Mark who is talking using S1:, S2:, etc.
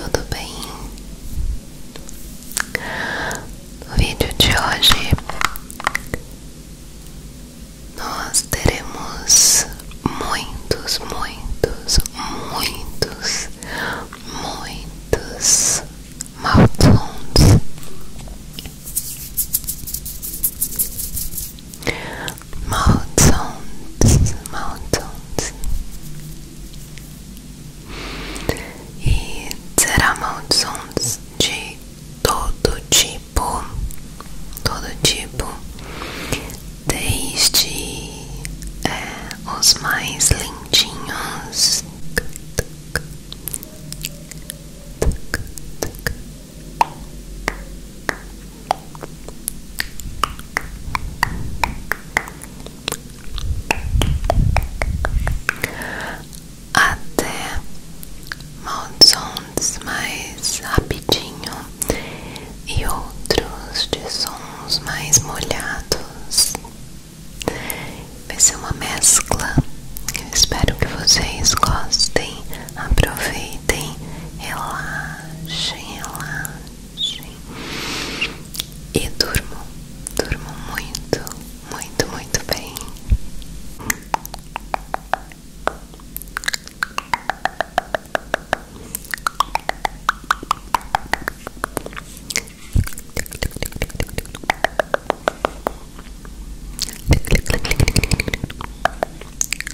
S1: Tudo bem? No vídeo de hoje nós teremos muitos, muitos, muitos, muitos maltons mountains, mountains. E será mountains de todo tipo, todo tipo, desde é, os mais lindinhos até sons mais rapidinho e outros de sons mais molhados. Vai ser uma mescla. espero que vocês gostem aproveitem, relaxem, relaxem e durmo durmo muito, muito, muito bem.